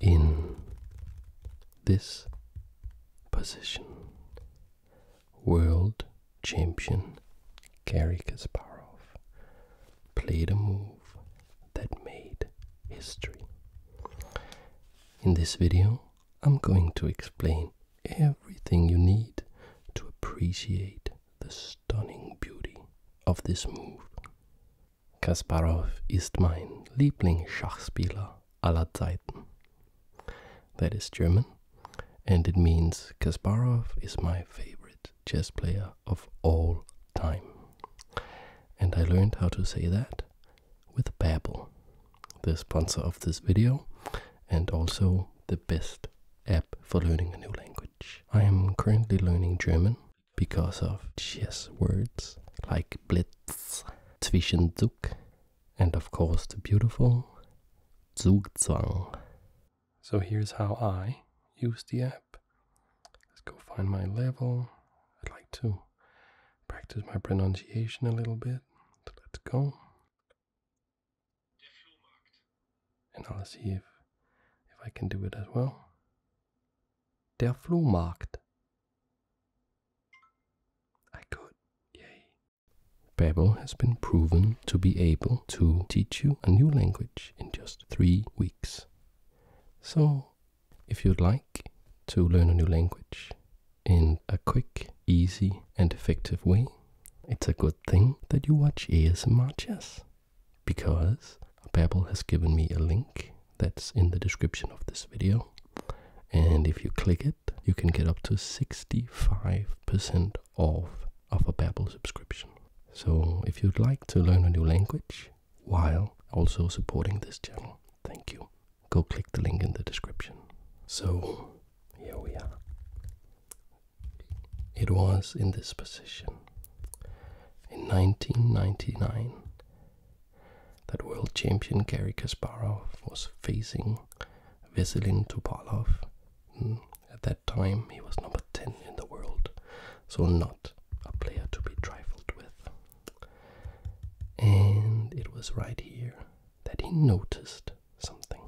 in this position. World champion Garry Kasparov played a move that made history. In this video, I'm going to explain everything you need to appreciate the stunning beauty of this move. Kasparov ist mein Lieblingsschachspieler aller Zeiten. That is German, and it means Kasparov is my favorite chess player of all time. And I learned how to say that with Babbel, the sponsor of this video, and also the best app for learning a new language. I am currently learning German because of chess words like Blitz, Zwischenzug, and of course the beautiful Zugzwang. So here's how I use the app. Let's go find my level. I'd like to practice my pronunciation a little bit. let's go. And I'll see if, if I can do it as well. Der Flohmarkt. I could. Yay. Babel has been proven to be able to teach you a new language in just three weeks. So, if you'd like to learn a new language in a quick, easy, and effective way, it's a good thing that you watch ASMR chess because Babbel has given me a link that's in the description of this video. And if you click it, you can get up to 65% off of a Babbel subscription. So if you'd like to learn a new language while also supporting this channel, thank you. Go click the link in the description. So here we are. It was in this position. In 1999, that world champion Gary Kasparov was facing Veselin Topalov. Hmm, at that time, he was number 10 in the world, so not a player to be trifled with. And it was right here that he noticed something.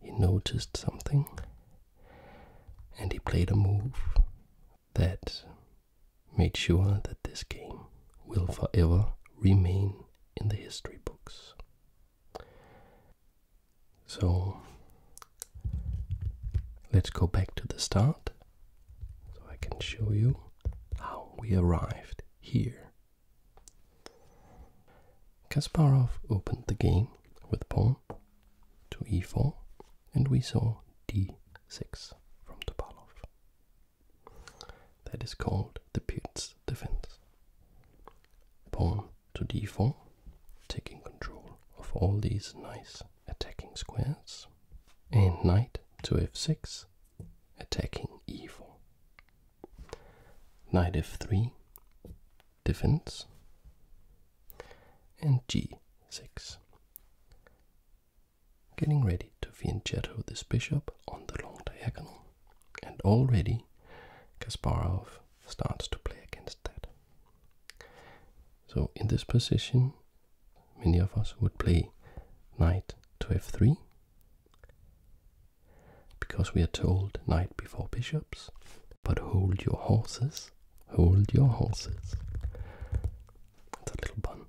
He noticed something and he played a move that made sure that this game will forever remain in the history books. So let's go back to the start so I can show you how we arrived here. Kasparov opened the game with pawn to e4 and we saw d 6 from Topalov. That is called the Peon's defense. Pawn to d4, taking control of all these nice attacking squares, and knight to f6, attacking e4. Knight f3, defense, and g6, getting ready to fianchetto this bishop on the long diagonal, and already Kasparov starts to play against that. So in this position, many of us would play knight to f3, because we are told knight before bishops, but hold your horses, hold your horses. It's a little pun.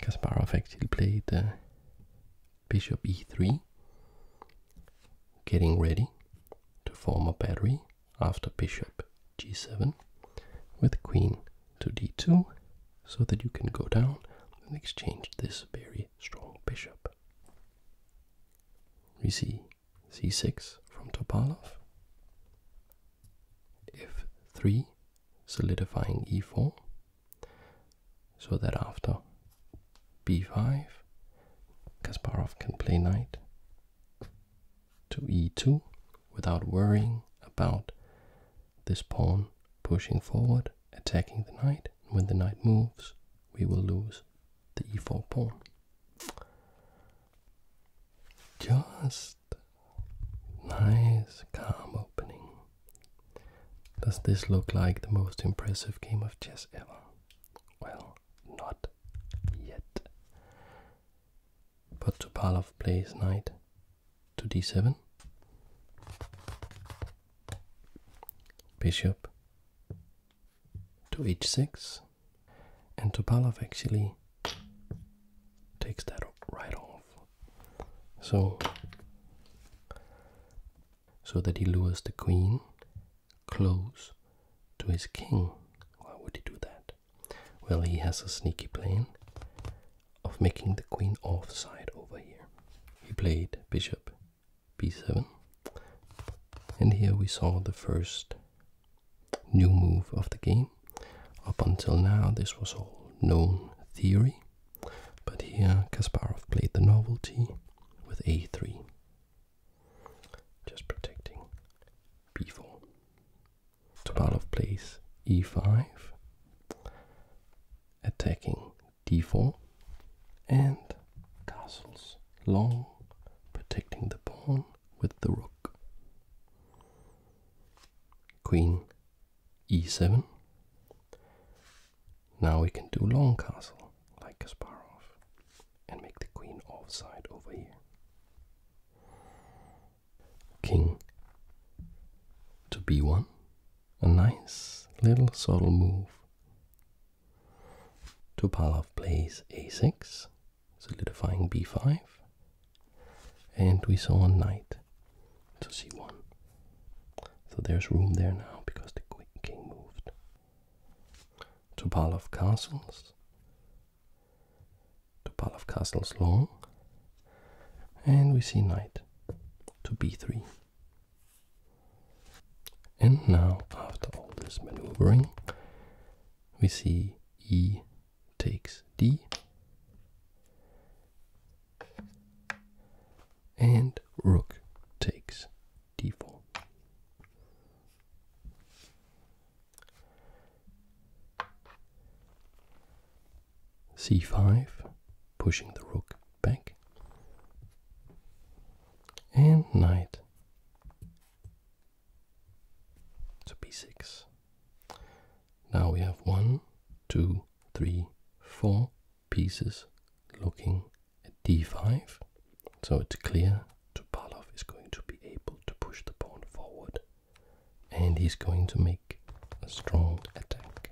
Kasparov actually played uh, bishop e3, getting ready to form a battery after bishop g7 with queen to d2 so that you can go down and exchange this very strong bishop. We see c6 from Topalov, f3 solidifying e4, so that after b5 Kasparov can play knight to e2 without worrying about this pawn pushing forward, attacking the knight. When the knight moves, we will lose the e4 pawn. Just Nice, calm opening. Does this look like the most impressive game of chess ever? Well, not yet. But Topalov plays knight to d7. Bishop to h6. And Topalov actually takes that right off. So, so that he lures the queen close to his king. Why would he do that? Well, he has a sneaky plan of making the queen offside over here. He played bishop b7, and here we saw the first new move of the game. Up until now, this was all known theory, but here Kasparov played the novelty with a3, just protecting b4. Topalov plays e5, attacking d4, and castles long, protecting the pawn, with the rook. Queen e7. Now we can do long castle like Kasparov and make the queen offside over here. King to b1. A nice little subtle move. To Palov plays a6 solidifying b5 and we saw a knight to c1 so there's room there now because the king moved Topalov castles to Topalov castles long and we see knight to b3 and now after all this maneuvering we see e takes d and rook takes d4. c5, pushing the rook back, and knight so b6. Now we have one, two, three, four pieces looking at d5. So it's clear Tupalov is going to be able to push the pawn forward and he's going to make a strong attack.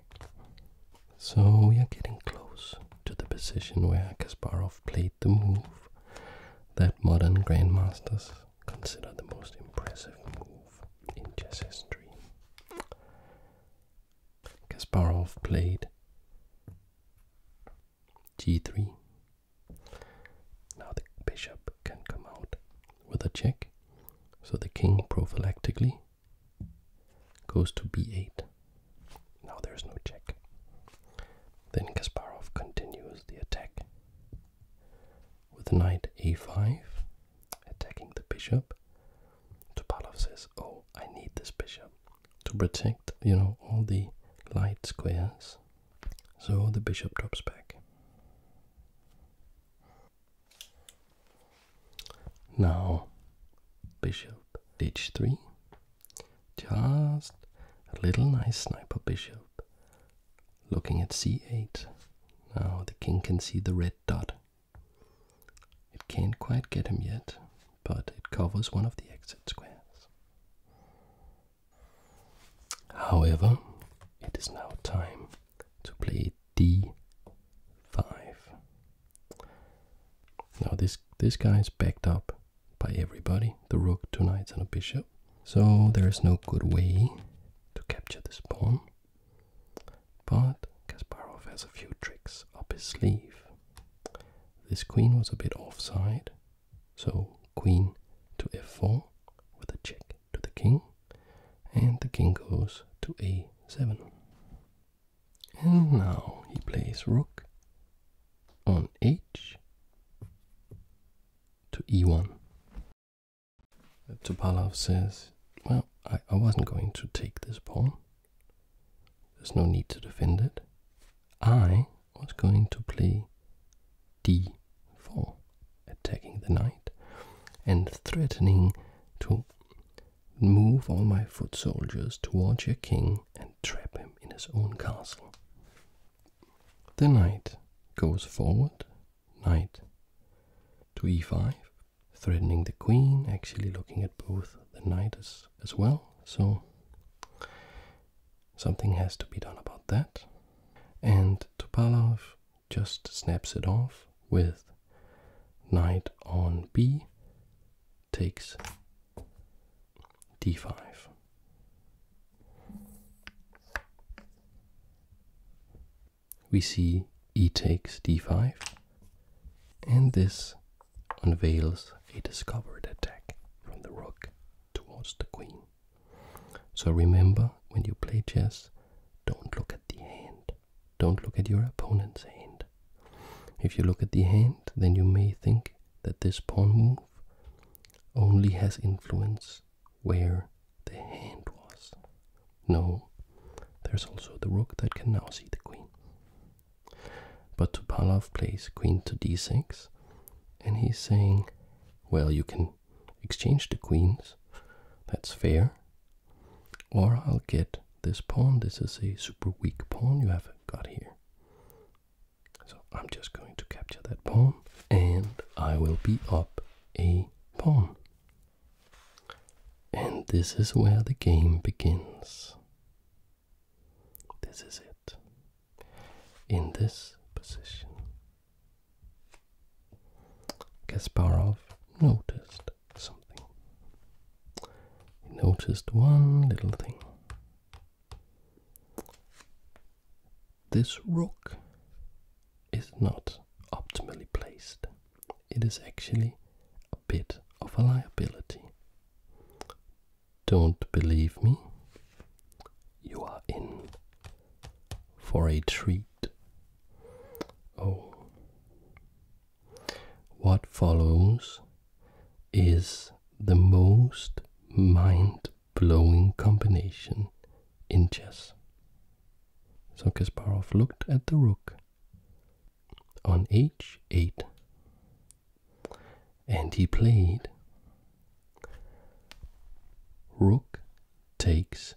So we are getting close to the position where Kasparov played the move that modern grandmasters considered the most impressive move in chess history. Kasparov played g3. Now the bishop can come out with a check, so the king prophylactically goes to b8. Now there's no check. Then Kasparov continues the attack with knight a5, attacking the bishop. Topalov says, Oh, I need this bishop to protect, you know, all the light squares. So the bishop drops back. Now, bishop h3. Just a little nice sniper bishop Looking at c8. Now the king can see the red dot. It can't quite get him yet, but it covers one of the exit squares. However, it is now time to play d5. Now this this guy is backed up by everybody the rook, two knights, and a bishop. So there is no good way to capture this pawn. But Kasparov has a few tricks up his sleeve. This queen was a bit offside, so queen to f4 with a check to the king, and the king goes to a7. And now he plays rook on h to e1. Topalov says, well, I wasn't going to take this pawn. There's no need to defend it. I was going to play d4, attacking the knight and threatening to move all my foot soldiers towards your king and trap him in his own castle. The knight goes forward, knight to e5, threatening the queen, actually looking at both the knights as, as well. So something has to be done about that. And Topalov just snaps it off with knight on b takes d5. We see e takes d5, and this unveils a discovered attack from the rook towards the queen. So remember, when you play chess, don't look at the hand. Don't look at your opponent's hand. If you look at the hand, then you may think that this pawn move only has influence where the hand was. No, there's also the rook that can now see the queen. But Tupalov plays queen to d6, and he's saying, well, you can exchange the queens, that's fair, or I'll get this pawn. This is a super weak pawn you have got here. So I'm just going to capture that pawn and I will be up a pawn. And this is where the game begins. This is it. In this position, Kasparov noticed something. He noticed one little thing this rook is not optimally placed. It is actually a bit of a liability. Don't believe me? You are in for a treat. Oh. What follows is the most mind blowing combination in chess. So Kasparov looked at the rook on h8 and he played rook takes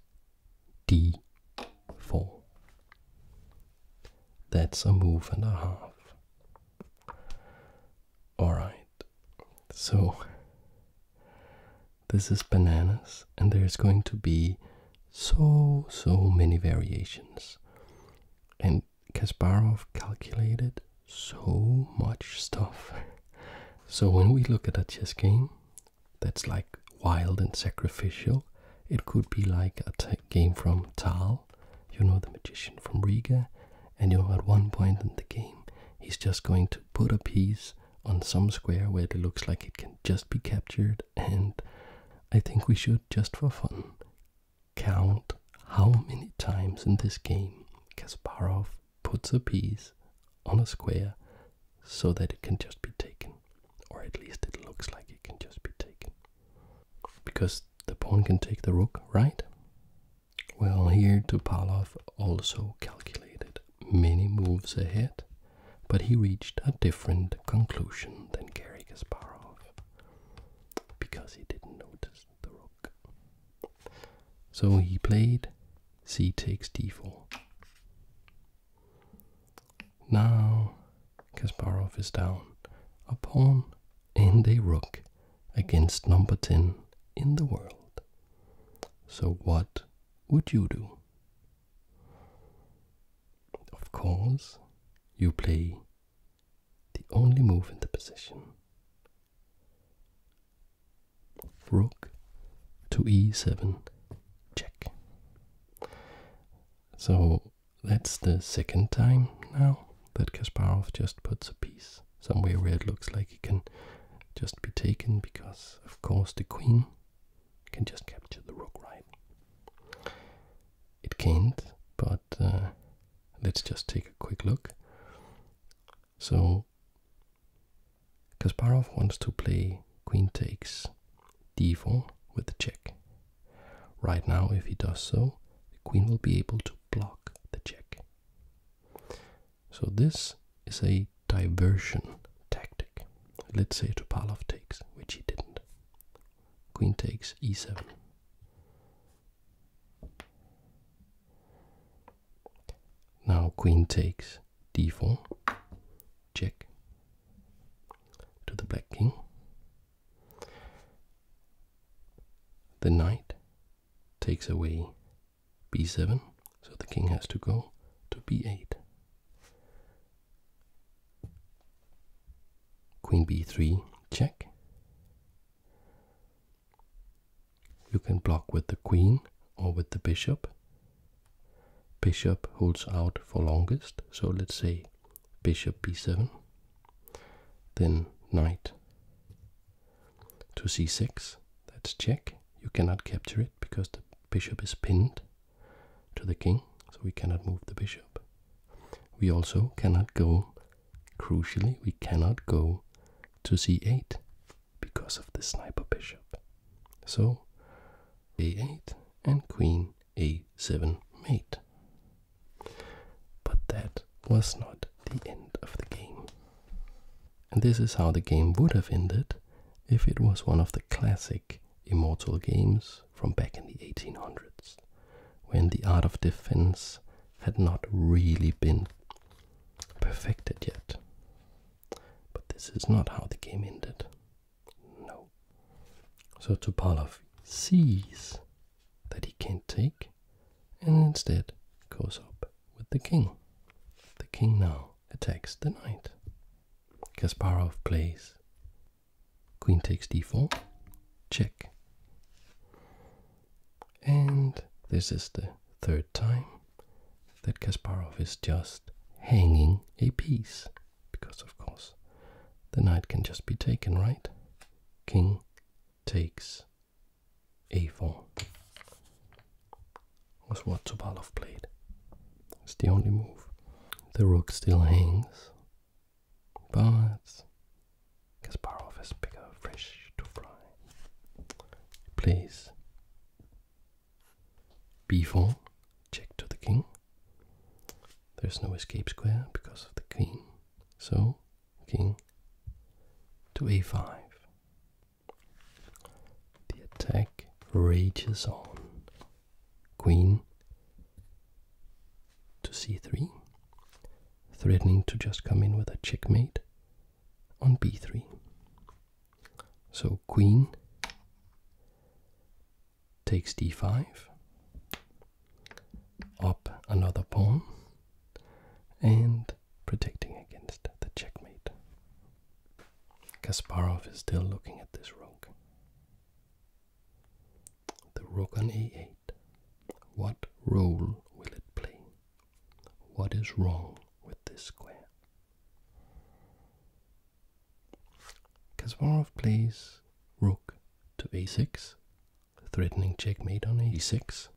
d4. That's a move and a half. Alright, so this is bananas, and there's going to be so, so many variations. And Kasparov calculated so much stuff. so when we look at a chess game that's like wild and sacrificial, it could be like a game from Tal, you know, the magician from Riga, and you know at one point in the game he's just going to put a piece on some square where it looks like it can just be captured and i think we should just for fun count how many times in this game kasparov puts a piece on a square so that it can just be taken or at least it looks like it can just be taken because the pawn can take the rook right well, here Topalov also calculated many moves ahead, but he reached a different conclusion than Gary Kasparov because he didn't notice the rook. So he played c takes d4. Now Kasparov is down a pawn and a rook against number 10 in the world. So, what would you do? Of course, you play the only move in the position rook to e7 check. So that's the second time now that Kasparov just puts a piece somewhere where it looks like it can just be taken because, of course, the queen can just capture the rook, right? It can't, but uh, let's just take a quick look. So, Kasparov wants to play queen takes d4 with the check. Right now, if he does so, the queen will be able to block the check. So this is a diversion tactic. Let's say Topalov takes, which he didn't. Queen takes e7. Now queen takes d4, check to the black king. The knight takes away b7, so the king has to go to b8. Queen b3, check. You can block with the queen or with the bishop. Bishop holds out for longest, so let's say bishop b7, then knight to c6, that's check you cannot capture it because the bishop is pinned to the king, so we cannot move the bishop. We also cannot go, crucially, we cannot go to c8 because of the sniper bishop. So a8 and queen a7 mate. But that was not the end of the game this is how the game would have ended if it was one of the classic immortal games from back in the 1800s, when the art of defense had not really been perfected yet. But this is not how the game ended. No. So Topalov sees that he can't take, and instead goes up with the king. The king now attacks the knight. Kasparov plays queen takes d4, check. And this is the third time that Kasparov is just hanging a piece. Because, of course, the knight can just be taken, right? King takes a4 was what Tubalov played. It's the only move. The rook still hangs, but Kasparov has bigger fish to fry. He b4, check to the king. There's no escape square because of the queen, so king to a5. The attack rages on. Queen to c3, threatening to just come in with a checkmate on b3. So queen takes d5, up another pawn, and protecting against the checkmate. Kasparov is still looking at this rook. The rook on a 8 What role will it play? What is wrong with this square? Kasparov plays rook to a6, threatening checkmate on a6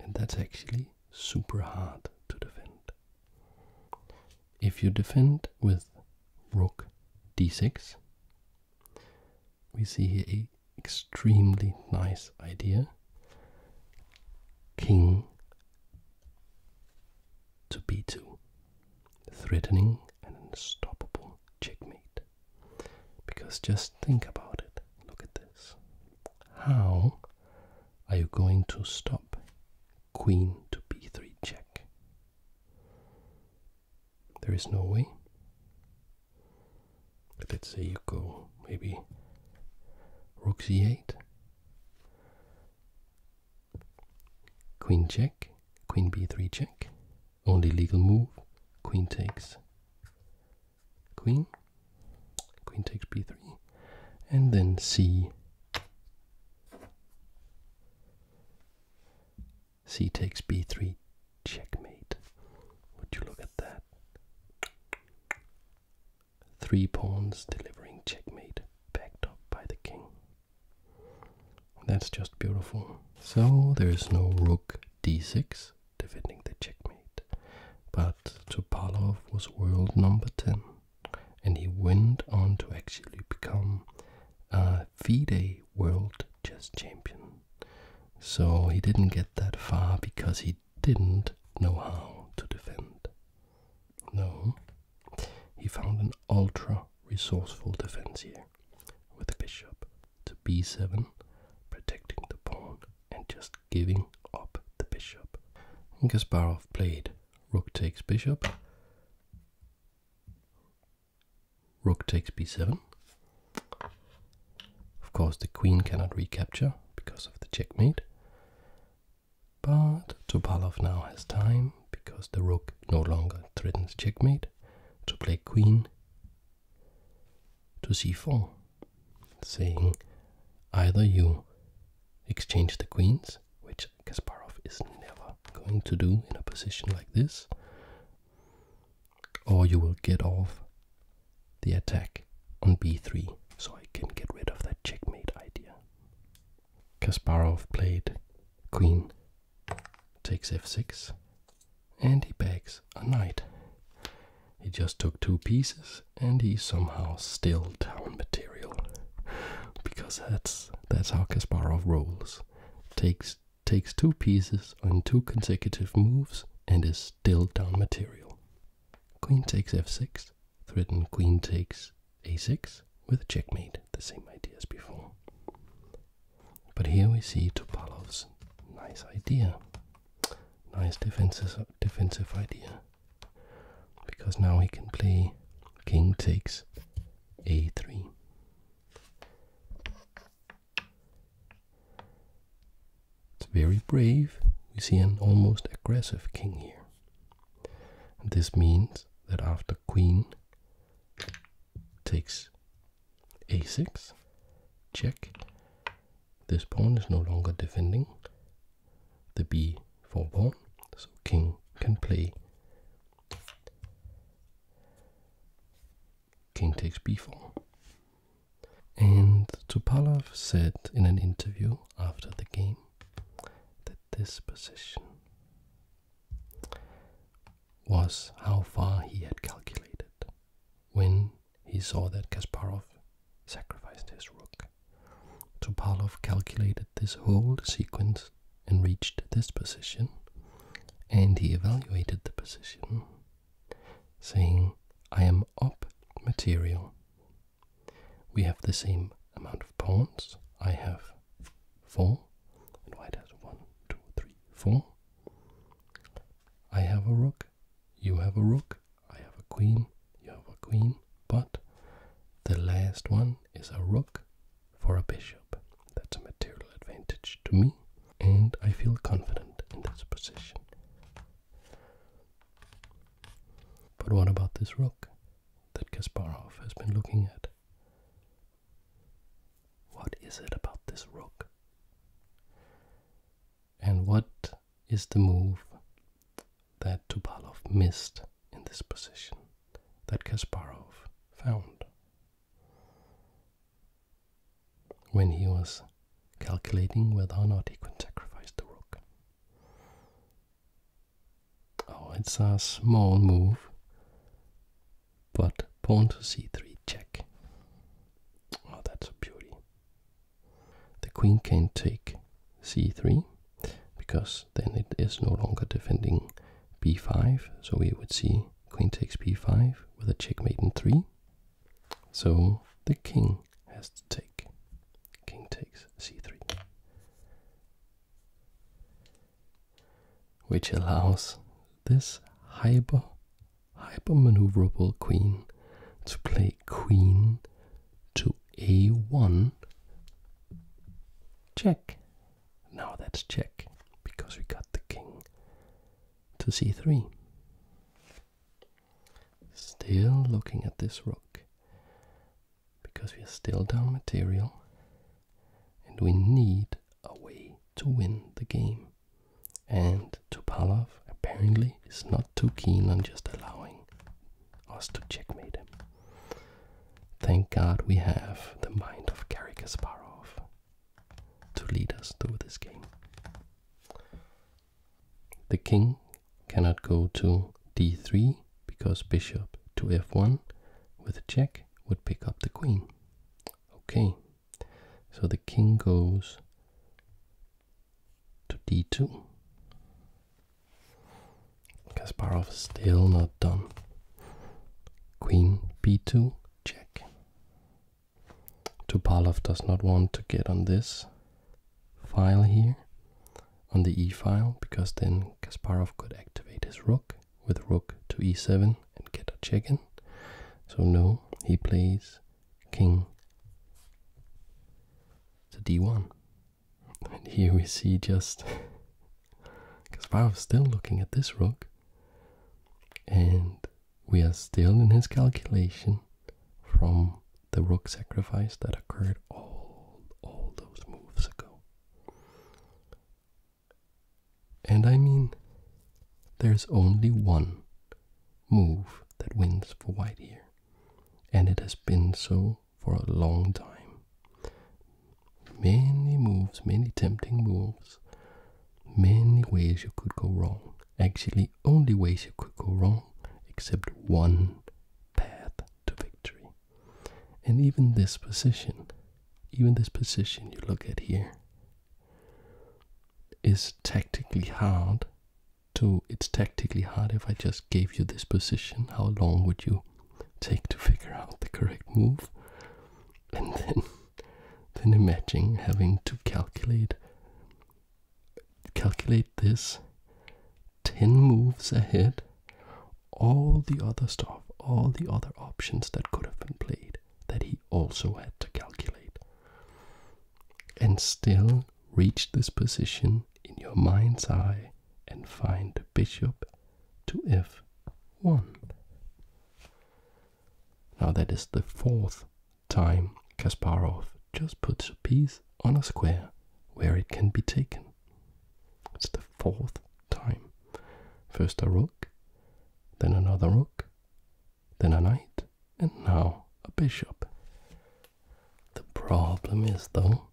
and that's actually super hard to defend. If you defend with rook d6, we see here a extremely nice idea. King to b2, threatening and unstoppable checkmate. Because just think about it. Look at this. How are you going to stop queen to b3 check? There is no way. let's say you go maybe rook c8, queen check, queen b3 check, only legal move, queen takes, queen, queen takes b3, and then c, c takes b3, checkmate. Would you look at that? Three pawns delivering checkmate, backed up by the king. That's just beautiful. So there's no rook d6, defending the checkmate. But Topalov was world number 10 and he went on to actually become a uh, FIDE world chess champion. So he didn't get that far because he didn't know how to defend. No, he found an ultra resourceful defense here with the bishop to b7, protecting the pawn and just giving up the bishop. And Kasparov played rook takes bishop, rook takes b7. Of course, the queen cannot recapture because of the checkmate. But Topalov now has time because the rook no longer threatens checkmate to play queen to c4, saying either you exchange the queens, which Kasparov is never going to do in a position like this, or you will get off the attack on b3 so I can get rid of that checkmate idea. Kasparov played queen takes f6 and he bags a knight. He just took two pieces and he somehow still down material. because that's that's how Kasparov rolls. Takes takes two pieces on two consecutive moves and is still down material. Queen takes f6, threatened queen takes a6 with checkmate, the same idea as before. But here we see Tupalov's nice idea nice defensive defensive idea because now he can play king takes a3 it's very brave we see an almost aggressive king here this means that after queen takes a6 check this pawn is no longer defending the b4 pawn, so king can play king takes b4. And Topalov said in an interview after the game that this position was how far he had calculated when he saw that Kasparov sacrificed his rook. Topalov calculated this whole sequence and reached this position, and he evaluated the position, saying, I am up material. We have the same amount of pawns. I have four, and white has one, two, three, four. I have a rook, you have a rook. I have a queen. You have a queen. But the last one is a rook for a bishop. That's a material advantage to me, and I feel confident in this position. But what about this rook that Kasparov has been looking at? What is it about this rook? And what is the move that Tubalov missed in this position that Kasparov found when he was calculating whether or not he could sacrifice the rook. Oh, it's a small move, but pawn to c3 check. Oh, that's a beauty. The queen can take c3 because then it is no longer defending b5, so we would see queen takes b5 with a checkmate in 3. So the king has to take. King takes c3. Which allows this hyper Hyper maneuverable queen to play queen to a1 check. Now that's check because we got the king to c3. Still looking at this rook because we are still down material and we need a way to win the game. And Tupalov apparently is not too keen on just allowing us to checkmate him. Thank God we have the mind of Karikasparov to lead us through this game. The king cannot go to d3 because bishop to f1 with a check would pick up the queen. Okay, so the king goes to d2. Kasparov is still not done. Queen b2, check. Tupalov does not want to get on this file here, on the e file, because then Kasparov could activate his rook with rook to e7 and get a check in. So no, he plays king to d1. And here we see just. Because wow, still looking at this rook, and we are still in his calculation from the rook sacrifice that occurred all all those moves ago. And I mean, there's only one move that wins for white here. And it has been so for a long time. Many moves, many tempting moves, many ways you could go wrong. Actually, only ways you could go wrong except one path to victory. And even this position, even this position you look at here, is tactically hard so it's tactically hard if I just gave you this position. How long would you take to figure out the correct move? And then, then imagine having to calculate calculate this 10 moves ahead, all the other stuff, all the other options that could have been played that he also had to calculate and still reach this position in your mind's eye and find bishop to f1. Now that is the fourth time Kasparov just puts a piece on a square where it can be taken. It's the fourth time. First a rook, then another rook, then a knight, and now a bishop. The problem is, though,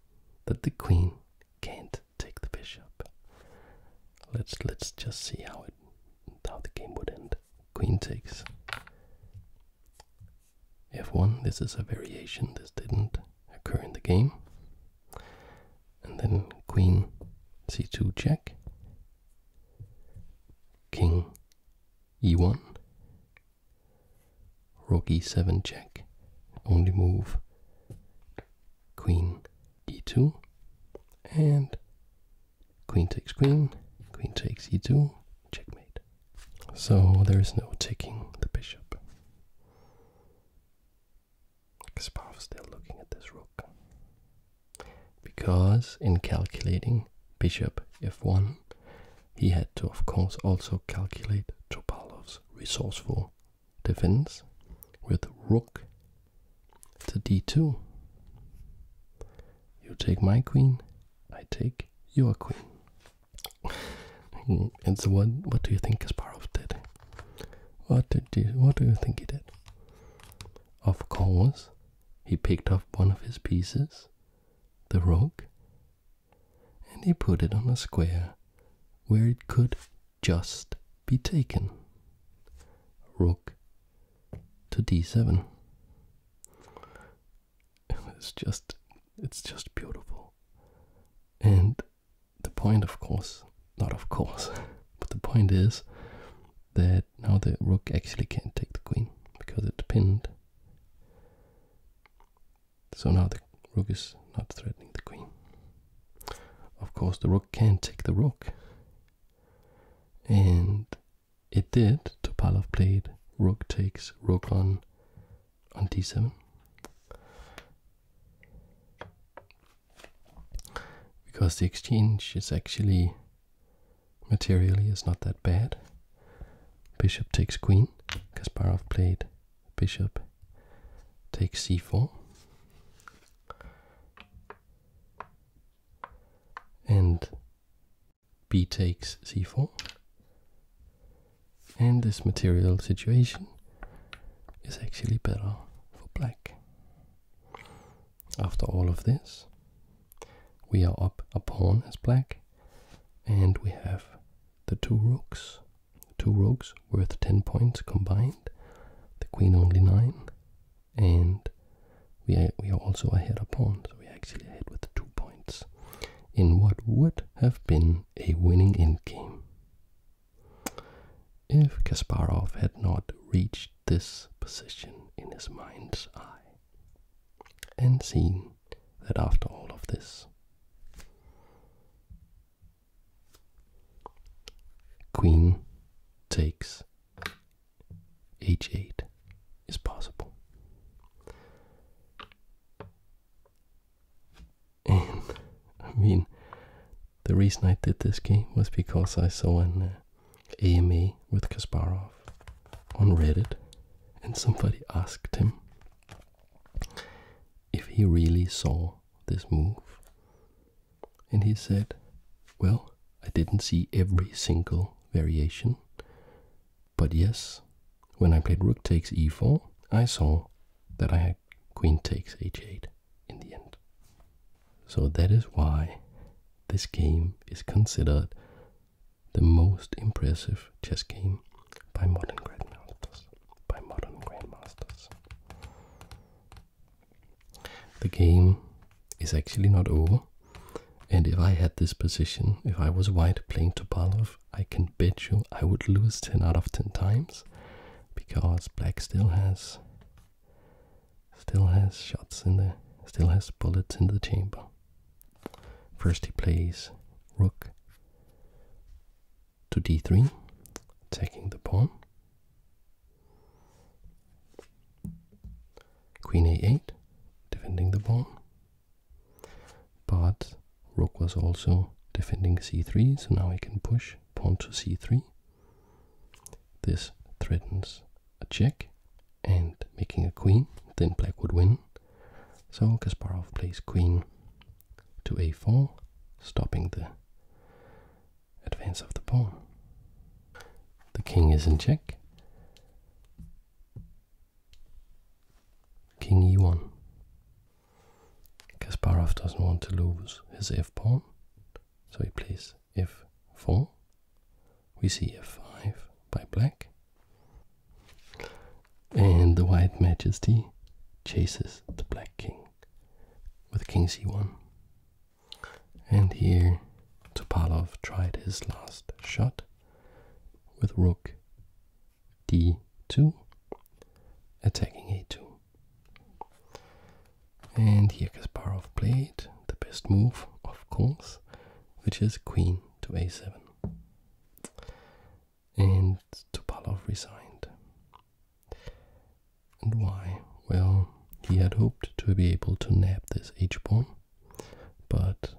that the queen can't take the bishop. Let's let's just see how it how the game would end. Queen takes f1. This is a variation. This didn't occur in the game. And then queen c2 check. King e1 rook e7 check only move queen e2 and queen takes queen queen takes e2 checkmate so there's no taking the bishop Kasparov still looking at this rook because in calculating bishop f1, he had to, of course, also calculate Topalov's resourceful defense with rook to d2. You take my queen, I take your queen. and so, what, what do you think Kasparov did? What did you, What do you think he did? Of course, he picked up one of his pieces the rock and he put it on a square where it could just be taken. Rook to d7. It's just it's just beautiful. And the point of course, not of course, but the point is that now the rook actually can't take the queen because it's pinned. So now the rook is not threatening the queen. Of course, the rook can take the rook. And it did. Topalov played rook takes rook on on d7. Because the exchange is actually materially is not that bad. Bishop takes queen. Kasparov played bishop takes c4. And b takes c4. And this material situation is actually better for black after all of this, we are up a pawn as black, and we have the two rooks. Two rooks worth 10 points combined, the queen only 9, and we are, also ahead of pawn, so we are actually ahead with 2 points in what would have been a winning endgame. If Kasparov had not reached this position in his mind's eye and see that after all of this, queen takes h8 is possible. And I mean, the reason I did this game was because I saw an uh, AMA with Kasparov on Reddit, and somebody asked him if he really saw this move. And he said, Well, I didn't see every single variation, but yes, when I played rook takes e4, I saw that I had queen takes h8 in the end. So that is why this game is considered the most impressive chess game by modern grandmasters. By modern grandmasters. The game is actually not over, and if I had this position, if I was white playing Topalov, I can bet you I would lose 10 out of 10 times because black still has still has shots in the still has bullets in the chamber First he plays rook to d3, attacking the pawn. Queen a8, defending the pawn. But rook was also defending c3, so now he can push pawn to c3. This threatens a check and making a queen, then black would win. So Kasparov plays queen to a4, stopping the advance of the pawn. The king is in check. King e1. Kasparov doesn't want to lose his f pawn, so he plays f4 we see a 5 by black. And the white majesty chases the black king with king c1. And here Tupalov tried his last shot with rook d2, attacking a2. And here Kasparov played the best move, of course, which is queen to a7. And Topalov resigned. And why? Well, he had hoped to be able to nab this h-pawn, but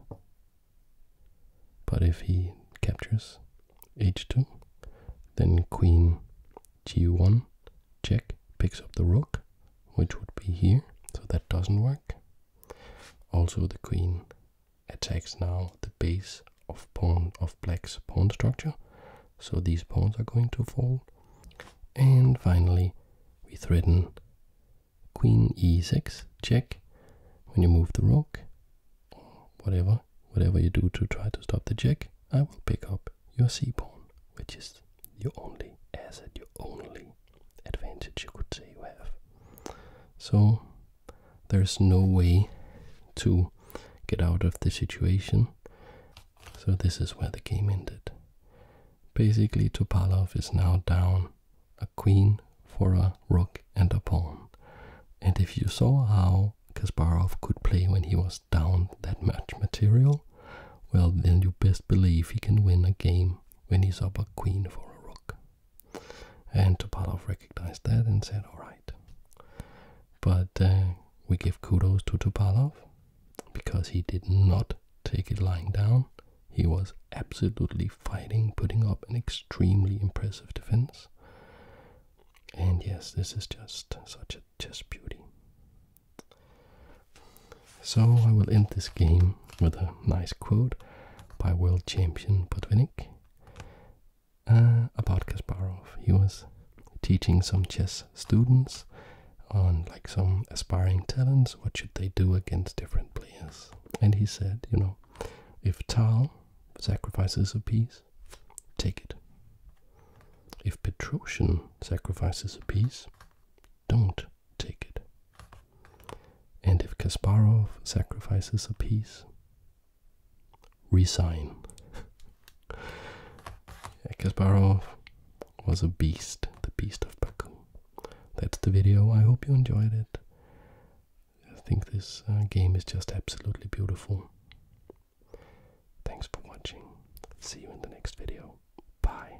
but if he captures h2, then queen g1 check picks up the rook, which would be here, so that doesn't work. Also, the queen attacks now the base of black's pawn structure, so these pawns are going to fall. And finally, we threaten queen e6 check when you move the rook or whatever whatever you do to try to stop the check i will pick up your c pawn which is your only asset your only advantage you could say you have. So there's no way to get out of the situation. So this is where the game ended. Basically, Topalov is now down a queen for a rook and a pawn. And if you saw how Kasparov could play when he was down that much material, well, then you best believe he can win a game when he saw a queen for a rook. And Topalov recognized that and said, alright. But uh, we give kudos to Topalov because he did not take it lying down. He was absolutely fighting, putting up an extremely impressive defense. And yes, this is just such a chess beauty. So I will end this game with a nice quote by world champion Botvinnik uh, about Kasparov. He was teaching some chess students on like some aspiring talents, what should they do against different players? And he said, you know, if Tal sacrifices a piece, take it. If Petrosian sacrifices a piece, don't take it. And if Kasparov sacrifices a piece, resign. Kasparov was a beast, the beast of Baku. That's the video. I hope you enjoyed it. I think this uh, game is just absolutely beautiful. Thanks for watching. See you in the next video. Bye.